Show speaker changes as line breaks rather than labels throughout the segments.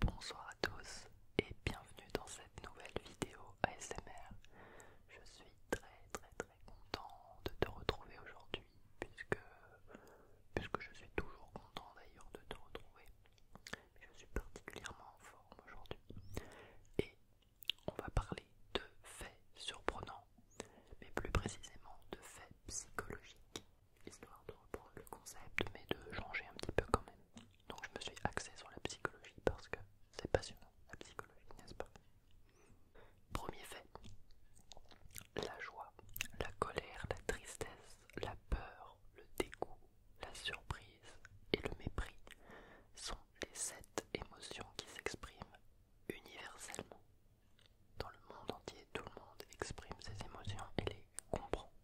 Bonsoir à tous et bienvenue dans cette nouvelle vidéo ASMR. Je suis très très très content de te retrouver aujourd'hui puisque, puisque je suis toujours content d'ailleurs de te retrouver. Je suis particulièrement en forme aujourd'hui et on va parler de faits surprenants mais plus précisément de faits psychologiques histoire de reprendre le concept, mais de changer un petit peu quand même. Donc je me suis axée sur la psychologie parce que c'est passionnant, la psychologie, n'est-ce pas Premier fait, la joie, la colère, la tristesse, la peur, le dégoût, la surprise et le mépris sont les sept émotions qui s'expriment universellement. Dans le monde entier, tout le monde exprime ses émotions et les comprend.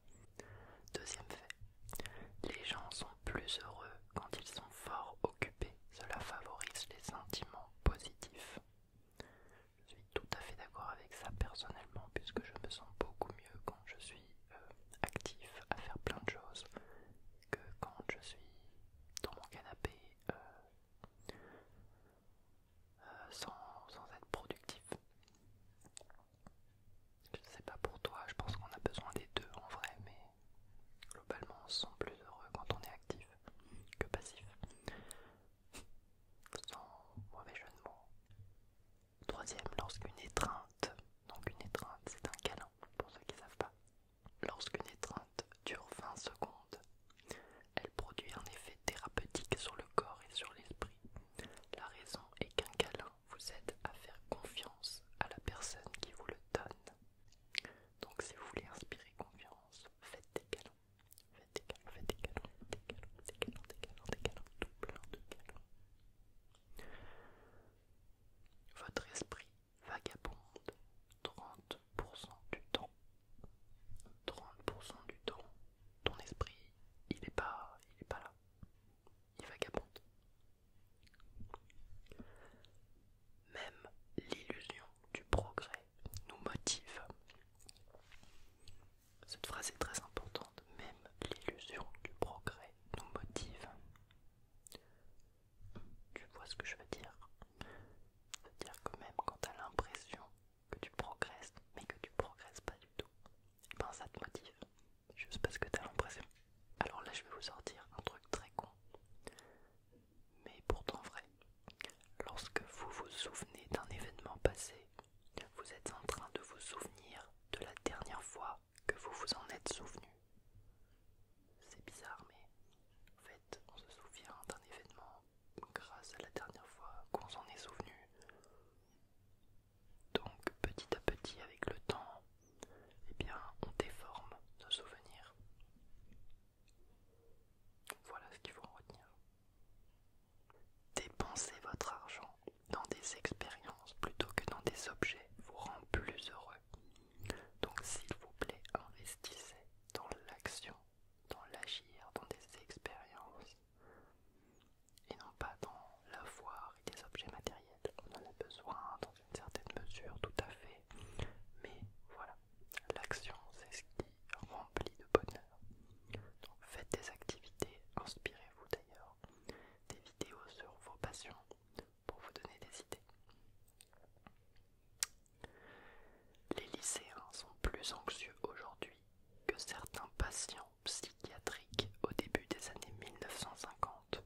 Deuxième fait, les gens sont plus heureux quand ils sont fort occupés. Cela favorise les sentiments positifs. Je suis tout à fait d'accord avec ça personnellement puisque je me sens beaucoup mieux quand je suis euh, actif à faire plein de choses que quand je suis dans mon canapé. Euh, euh, sans, être productif. Je ne sais pas pour toi, je pense qu'on a besoin des deux en vrai, mais globalement on se sent plus heureux quand on est actif que passif. Troisième, lorsqu'une étreinte, donc une étreinte c'est un câlin pour ceux qui savent pas, lorsqu'une étreinte dure 20 secondes, elle produit un effet thérapeutique sur le corps et sur l'esprit. La raison est qu'un câlin vous aide à faire confiance à la personne qui vous le donne. Donc si vous voulez inspirer confiance, faites des câlins. Faites des câlins, faites des câlins, des câlins, des câlins, des câlins, des câlins, tout plein de câlins. Votre esprit vagabonde 30% du temps. 30% du temps, ton esprit, il n'est pas, il est pas là. Il vagabonde. Même l'illusion du progrès nous motive. Cette phrase est très importante. Même l'illusion du progrès nous motive. Tu vois ce que je veux dire C'est-à-dire que même quand tu l'impression que tu progresses, mais que tu progresses pas du tout, et eh ben ça te motive, juste parce que t'as l'impression. Alors là, je vais vous sortir un truc très con, mais pourtant vrai. Lorsque vous vous souvenez d'un événement passé, vous êtes en train de vous souvenir de la dernière fois que vous vous en êtes souvenu. C'est bizarre, mais en fait, on se souvient d'un événement grâce à la dernière fois qu'on s'en est souvenu. Donc petit à petit avec le temps, eh bien on déforme nos souvenirs. Voilà ce qu'il faut en retenir. Dépenser votre argent dans des expériences plutôt que dans des objets vous rend plus heureux. Donc s'il vous plaît, investissez dans l'action, dans l'agir, dans des expériences et non pas dans la l'avoir et des objets matériels. On en a besoin dans une certaine mesure, tout à fait, mais voilà, l'action c'est ce qui remplit de bonheur. faites des activités, inspirez-vous d'ailleurs des vidéos sur vos passions pour vous donner des idées. Les lycéens sont plus anxieux aujourd'hui que certains patients psychiatriques au début des années 1950.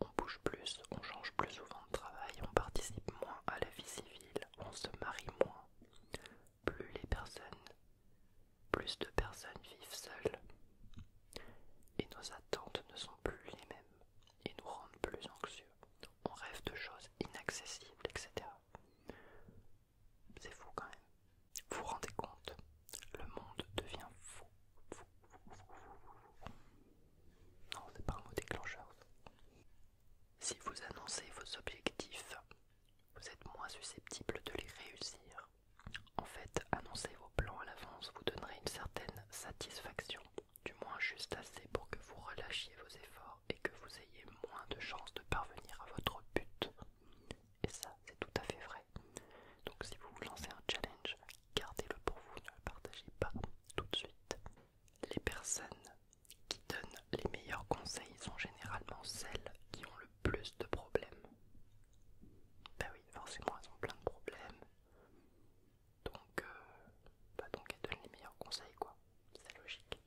On bouge plus, on change plus souvent de travail, on participe moins à la vie civile, on se marie moins. Plus les personnes, plus de personnes vivent seules. Et nos attentes ne sont plus les mêmes et nous rendent plus anxieux. On rêve de choses inaccessibles, etc. C'est fou quand même. Vous vous rendez compte Le monde devient fou. Non, c'est pas un mot déclencheur. Si vous annoncez vos objectifs, vous êtes moins susceptible de les réussir. En fait, annoncer vos plans à l'avance vous donnerait une certaine satisfaction, du moins juste assez pour que vous relâchiez vos efforts et que vous ayez moins de chances de parvenir à votre but. Et ça, c'est tout à fait vrai. Donc si vous vous lancez un challenge, gardez-le pour vous, ne le partagez pas tout de suite. Les personnes qui donnent les meilleurs conseils sont généralement celles qui ont le plus de problèmes. Ben oui, forcément, elles ont plein de problèmes. Donc, euh, bah donc elles donnent les meilleurs conseils, quoi. C'est logique.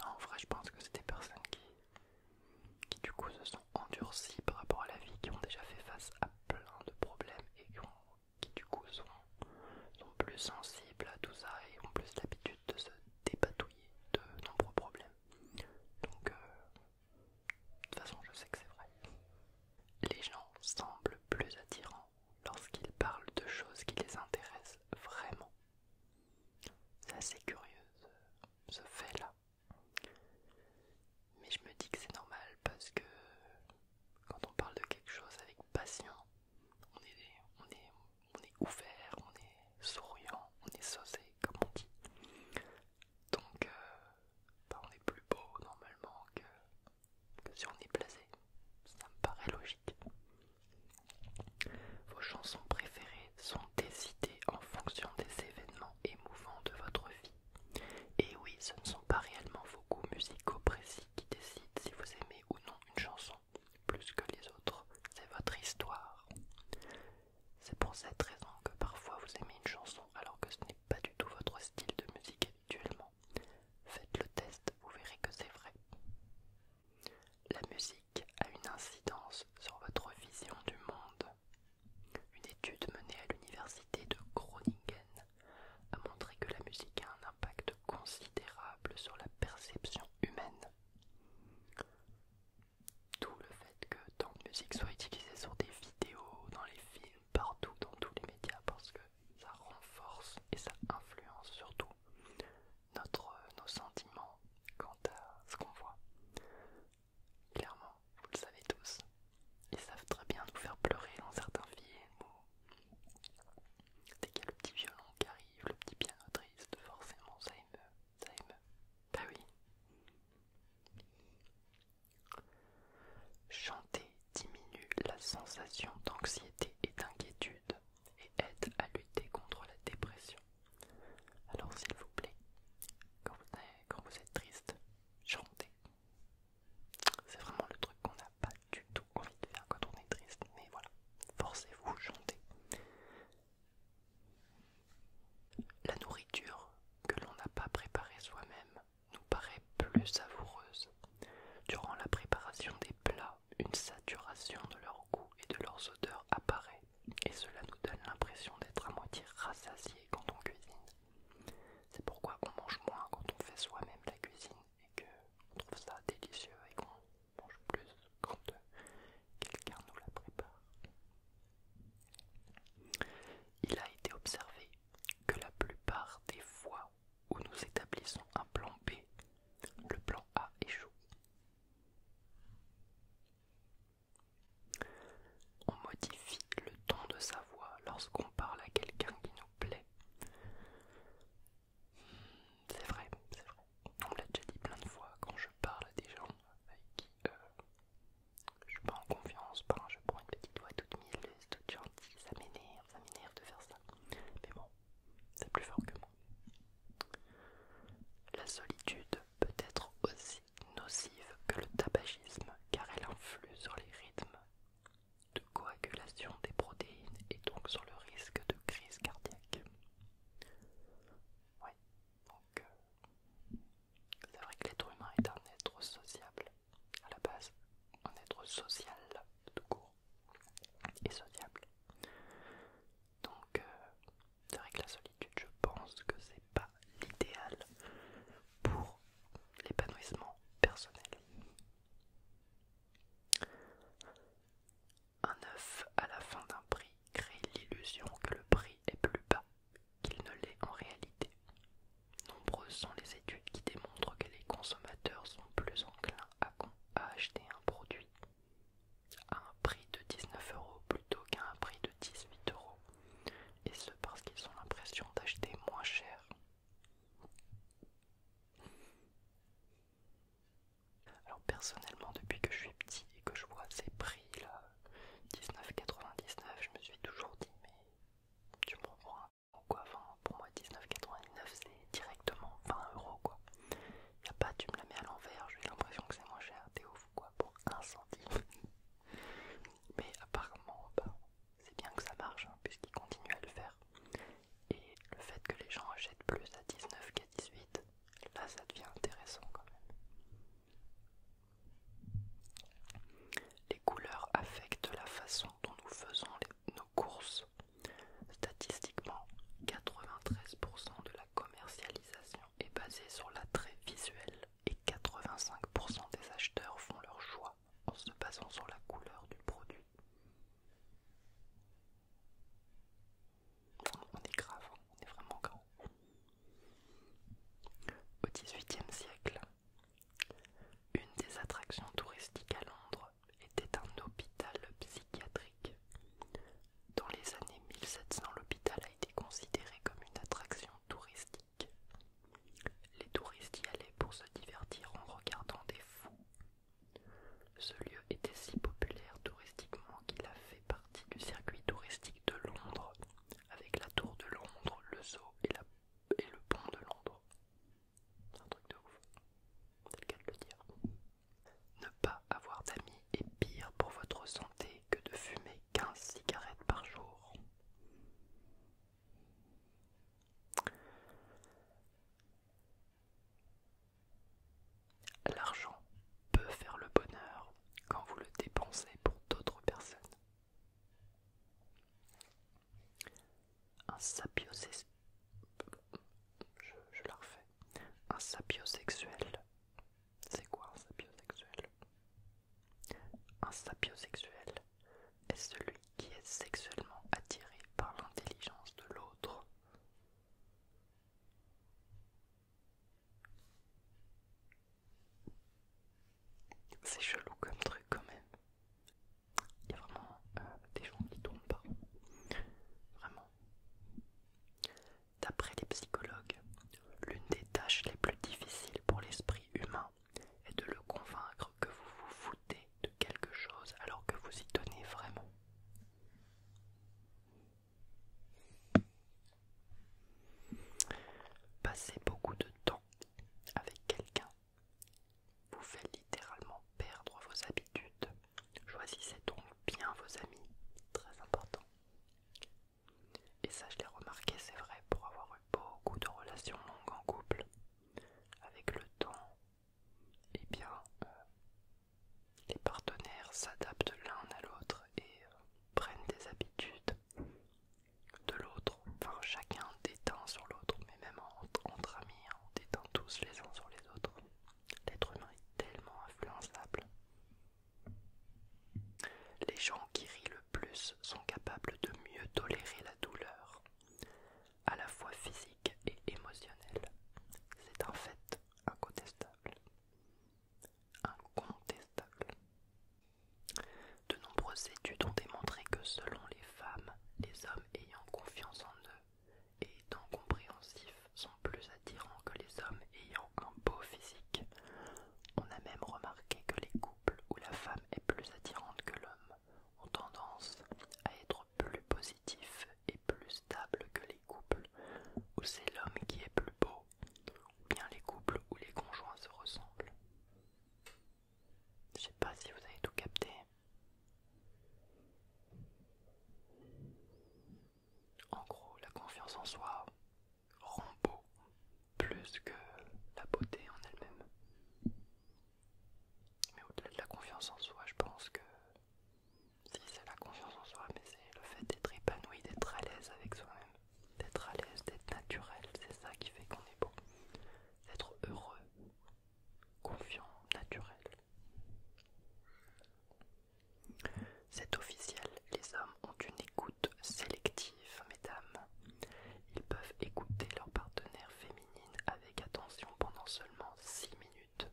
Non, en vrai, je pense que c'est des personnes qui, du coup, se sont endurcies par rapport à la vie, qui ont déjà fait face à plein de problèmes et qui, du coup, sont, plus sensibles à tout ça et ont plus l'habitude de se débatouiller de nombreux problèmes. Donc, euh, de toute façon, je sais que c'est vrai. Les gens semblent plus attirants lorsqu'ils parlent de choses qui les intéressent vraiment. C'est assez curieux ce, fait-là. Mais je me dis que c'est normal parce que quand on parle de quelque chose avec passion, on est, on on est ouvert, on est souriant, on est saucé, comme on dit. Donc, euh, bah, on est plus beau normalement que que si on est blasé. Ça me paraît logique. Vos chansons préférées sont décidées en fonction des événements émouvants de votre vie. Et oui, ce ne sont pas réellement vos goûts musicaux précis qui décident si vous aimez ou non une chanson, plus que les autres. C'est votre histoire. C'est pour cette raison que parfois vous aimez une chanson alors que ce n'est pas du tout votre style de musique Faites le test, vous verrez que c'est vrai. La musique a une incidence sur votre vision du monde. Une étude menée à l'université de Groningen a montré que la musique a un impact considérable sur la perception humaine. D'où le fait que tant de musique soit utilisée sur des vidéos, dans les films, partout, dans tous les médias, parce que ça renforce et ça influence surtout notre, nos sentiments quant à ce qu'on voit. Clairement, vous le savez tous, ils savent très bien nous faire pleurer dans certains films C'est dès qu'il y a le petit violon qui arrive, le petit piano triste, forcément ça ça émeut. Bah oui. Chanter diminue la sensation d'anxiété et d'inquiétude et aide à lutter contre la dépression. Alors s'il vous plaît, quand vous, êtes triste, chantez. C'est vraiment le truc qu'on n'a pas du tout envie de faire quand on est triste, mais voilà, forcez-vous, chantez. La nourriture que l'on n'a pas préparée soi-même nous paraît plus savoureuse. Durant la préparation des plats, une saturation de leur goût et de leurs odeurs apparaît, et cela nous donne l'impression d'être à moitié rassasiés quand on cuisine. C'est pourquoi on mange moins quand on fait soi-même la cuisine et qu'on trouve ça délicieux et qu'on mange plus quand euh, quelqu'un nous la prépare. Il a été observé que la plupart des fois où nous établissons un plan B. Le plan A échoue. On modifie le ton de sa voix lorsqu'on parle à quelqu'un qui nous plaît. C'est vrai, c'est vrai. On l'a déjà dit plein de fois quand je parle à des gens avec qui euh, je suis pas en confiance, ben, je prends une petite voix toute mille, toute gentille, ça m'énerve ça m'énerve de faire ça. Mais bon, c'est plus fort que moi. La solitude peut être aussi nocive que le tabagisme car elle influe sur les rythmes de coagulation des protéines et donc sur le risque de crise cardiaque. Ouais, donc euh, c'est vrai que l'être humain est un être sociable à la base un être social tout court et sociable. Donc, avec euh, c'est vrai que la solitude, je pense que c'est pas l'idéal pour l'épanouissement personnel. Un œuf à la fin d'un prix crée l'illusion que le prix est plus bas qu'il ne l'est en réalité. Nombreuses sont les études qui démontrent que les consommateurs sont plus enclins à, acheter un produit à un prix de 19 euros plutôt qu'à un prix de 18 euros, et ce parce qu'ils ont l'impression d'acheter moins cher. Alors personnellement, depuis que je suis petit et que je vois ces prix là, 19,99, je me suis toujours dit mais tu me un. » quoi. pour moi, 19,99 c'est directement 20 euros quoi. a pas, tu me la mets à l'envers, j'ai l'impression que c'est moins cher, t'es ouf quoi, pour 1 centime. Mais apparemment, bah, c'est bien que ça marche hein, puisqu'ils continuent à le faire. Et le fait que les gens achètent plus à 19 qu'à 18, là ça devient intéressant quand même les couleurs affectent la façon dont nous faisons nos courses. Statistiquement, 93% de la commercialisation est basée sur l'attrait visuel et 85% des acheteurs font leur choix en se basant sur la couleur du produit. On est grave, hein. on est vraiment grave. Au XVIIIe siècle, une des attractions touristiques à Londres était un hôpital psychiatrique. Dans les années 1700, l'hôpital a été considéré comme une attraction touristique. Les touristes y allaient pour se divertir en regardant des fous. Ce lieu était si populaire touristiquement qu'il a fait partie du circuit touristique de Londres, avec la tour de Londres, le zoo et la et le pont de Londres. Un truc de ouf, c'est le cas de le dire. Ne pas avoir d'amis est pire pour votre santé que de fumer 15 cigarettes par jour. L'argent peut faire le bonheur quand vous le dépensez pour d'autres personnes un sapiosexuel. Je, je la refais. Un sapiosexuel. C'est quoi un sapiosexuel Un sapiosexuel est celui qui est sexuellement attiré par l'intelligence de l'autre. C'est chelou comme truc quand même. Il y a vraiment euh, des gens qui tombent pas. Vraiment. D'après les psychologues, l'une des tâches les plus difficiles pour l'esprit humain est de le convaincre que vous vous foutez de quelque chose alors que vous y tenez vraiment. Passez beaucoup de temps avec quelqu'un vous faites littéralement perdre vos habitudes. Choisissez donc bien vos amis, très important. Et ça, je l'ai remarqué, c'est vrai, pour avoir eu beaucoup de relations longues en couple. Avec le temps, et eh bien, euh, les partenaires s'adaptent l'un à l'autre et euh, prennent des habitudes de l'autre. Enfin, chacun déteint sur l'autre, mais même entre amis, hein, on déteint tous les uns sur les autres. L'être humain est tellement influençable. Les gens qui rient le plus sont capables de mieux tolérer la douleur, à la fois physique et émotionnelle. C'est en fait incontestable. Incontestable. De nombreuses études ont démontré que selon les femmes, les hommes ayant confiance en eux et étant compréhensifs sont plus attirants que les hommes ayant un beau physique. On a même remarqué que les couples où la femme est plus attirante que l'homme ont tendance à être plus positifs et plus stables que les couples où c'est l'homme qui est plus beau, ou bien les couples où les conjoints se ressemblent. Je sais pas si vous avez tout capté. En gros, la confiance en soi rend beau plus que la beauté en elle-même. Mais au-delà de la confiance en soi, je pense que si c'est la confiance en soi, mais c'est le fait d'être épanoui, d'être à l'aise avec soi-même d'être à l'aise, d'être naturel, c'est ça qui fait qu'on est bon. D'être heureux, confiant, naturel. C'est officiel, les hommes ont une écoute sélective, mesdames. Ils peuvent écouter leur partenaire féminine avec attention pendant seulement 6 minutes,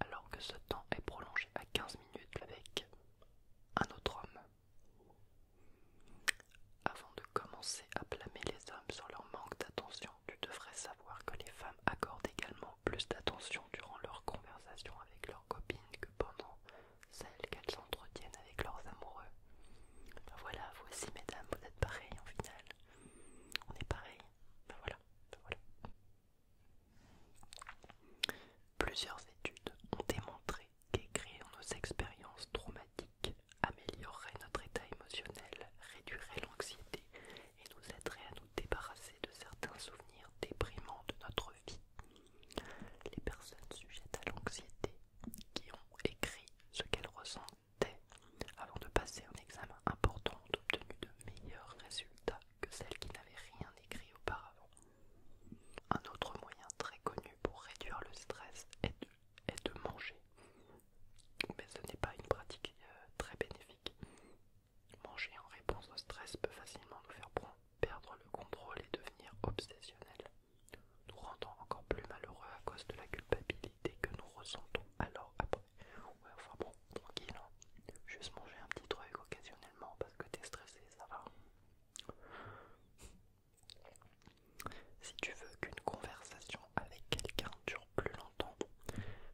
alors que ce temps est prolongé à 15 minutes avec un autre homme. Avant de commencer à blâmer les hommes sur leur manque d'attention, tu devrais savoir que les femmes accordent également plus d'attention durant leurs conversations avec leurs copines que pendant celles qu'elles entretiennent avec leurs amoureux. Ben voilà, voici mesdames, vous êtes pareilles en final. On est pareil. Ben voilà, ben voilà. Plusieurs études ont démontré qu'écrire nos expériences traumatiques améliorerait notre état émotionnel, réduirait l'anxiété et nous aiderait à nous débarrasser de certains souvenirs déprimants de notre vie. Les personnes sujettes à l'anxiété qui ont écrit ce qu'elles ressentaient avant de passer un examen important ont obtenu de meilleurs résultats que celles qui n'avaient rien écrit auparavant. Un autre moyen très connu pour réduire le stress est de, manger. Mais ce n'est pas une pratique euh, très bénéfique. Manger en réponse au stress peut facilement nous faire perdre le contrôle et devenir obsessionnel, nous rendant encore plus malheureux à cause de la culpabilité que nous ressentons alors après. Ouais, enfin bon, tranquille, hein. juste manger un petit truc occasionnellement parce que t'es stressé, ça va. Si tu veux qu'une conversation avec quelqu'un dure plus longtemps,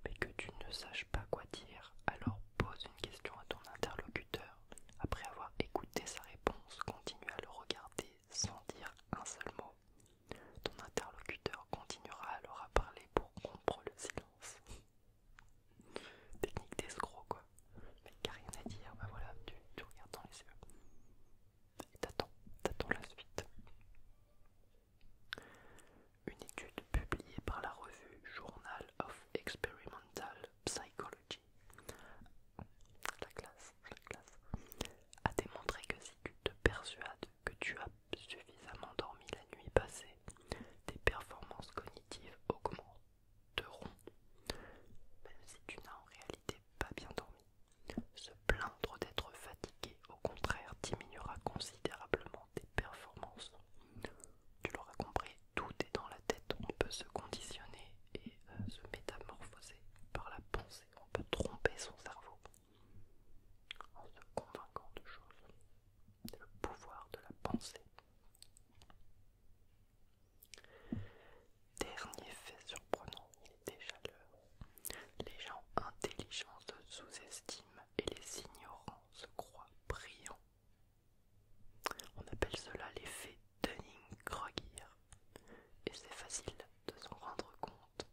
mais que tu ne saches pas quoi dire, alors pose une question à ton interlocuteur. Après avoir écouté sa réponse, continue à le regarder sans dire un seul mot. Ton interlocuteur continuera alors à parler pour rompre le silence. Technique d'escroc, mais a rien à dire, bah voilà, tu, regardes dans les yeux. Et t'attends, la suite. Une étude publiée par la revue Journal of Experimental Psychology, classe, la classe, a démontré que si tu te persuades que tu as suffisamment dormi la nuit passée, tes performances cognitives augmentent de rond, même si tu n'as en réalité pas bien dormi. Se plaindre d'être fatigué, au contraire, diminuera considérablement tes performances. Tu l'auras compris, tout est dans la tête, on peut se conditionner et euh, se métamorphoser par la pensée, on peut tromper son cerveau en se convainquant de choses. le pouvoir de la pensée. Dernier fait surprenant, il est déjà l'heure. Les gens intelligents se sous-estiment et les ignorants se croient brillants. On appelle cela l'effet Dunning-Kruger et c'est facile de s'en rendre compte.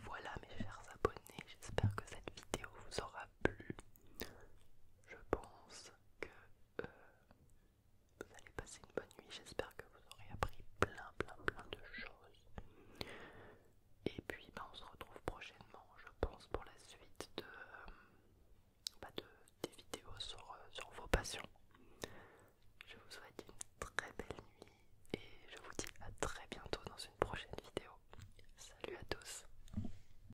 Voilà mes chers abonnés, j'espère que cette vidéo vous aura plu. Je pense que euh, vous allez passer une bonne nuit. J'espère que vous aurez appris plein, plein, plein de choses. Et puis, ben, on se retrouve prochainement, je pense, pour la suite de, euh, bah, de des vidéos euh, sur vos passions. Je vous souhaite une très belle nuit et je vous dis à très bientôt dans une prochaine vidéo. Salut à tous